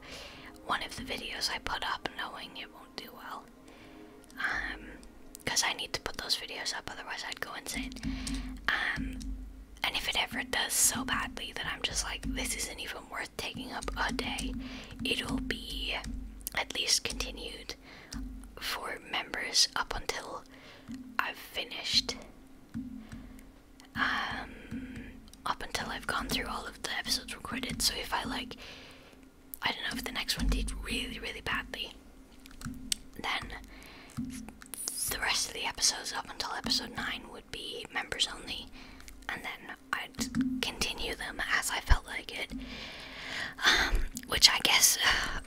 one of the videos I put up, knowing it won't do well. Um, because I need to put those videos up, otherwise I'd go insane. Um, and if it ever does so badly that I'm just like, this isn't even worth taking up a day, it'll be at least continued for members up until I've finished. Um, up until I've gone through all of the episodes recorded. So if I like, I don't know if the next one did really, really badly, then the rest of the episodes up until episode 9 would be members only, and then I'd continue them as I felt like it. Um, which I guess,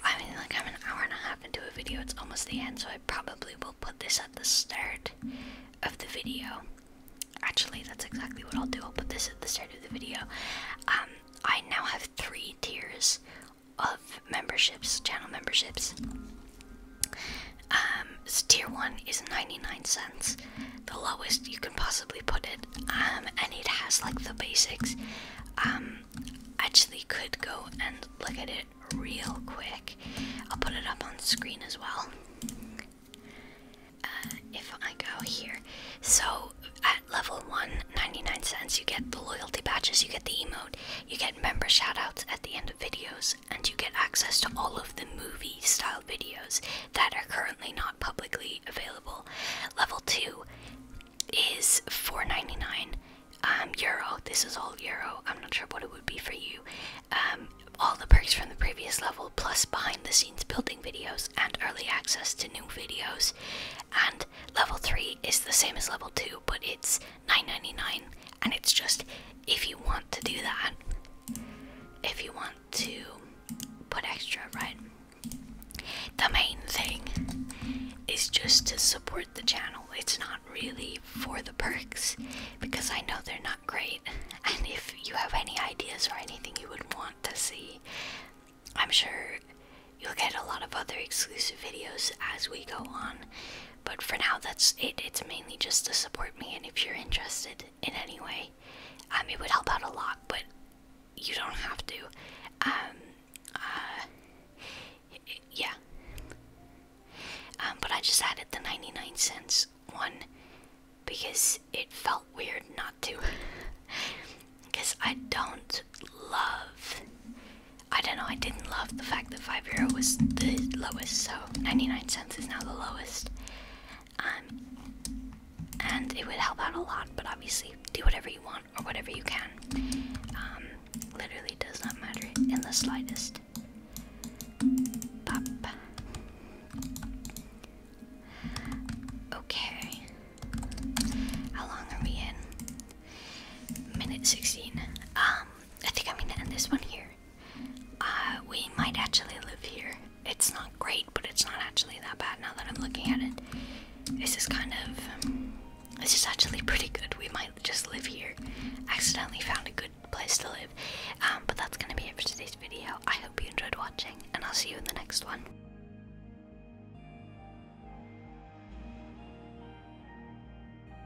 I mean, like, I'm an hour and a half into a video, it's almost the end, so I probably will put this at the start of the video. Actually, that's exactly what I'll do. I'll put this at the start of the video. Um, I now have three tiers of memberships, channel memberships. Um, tier one is 99 cents, the lowest you can possibly put it, um, and it has like the basics. Um, actually, could go and look at it real quick. I'll put it up on screen as well. Uh, if I go here, so at level one, 99 cents, you get the loyalty badges, you get the emote, you get member shoutouts at the end of videos, and you get access to all of the movie style videos that are currently not publicly available. Level 2 is 4.99 um, euro. This is all euro. I'm not sure what it would be for you. Um, all the perks from the previous level, plus behind the scenes building videos and early access to new videos. And level 3 is the same as level 2, but it's 9 and it's just if you want to do that if you want to put extra right the main thing is just to support the channel it's not really for the perks because i know they're not great and if you have any ideas or anything you would want to see i'm sure you'll get a lot of other exclusive videos as we go on but for now, that's it. It's mainly just to support me, and if you're interested in any way, um, it would help out a lot. But you don't have to. Um, uh, yeah. Um, but I just added the 99 cents one because it felt weird not to. Because I don't love I don't know, I didn't love the fact that 5 euro was the lowest, so 99 cents is now the lowest. Um, and it would help out a lot, but obviously, do whatever you want or whatever you can. Um, literally does not matter in the slightest. Pop. Okay. How long are we in? Minute 16. Um, I think I'm gonna end this one here. Uh, we might actually live here. It's not great, but it's not actually that bad now that I'm looking at it. This is kind of. This is actually pretty good. We might just live here. Accidentally found a good place to live. Um, but that's gonna be it for today's video. I hope you enjoyed watching, and I'll see you in the next one.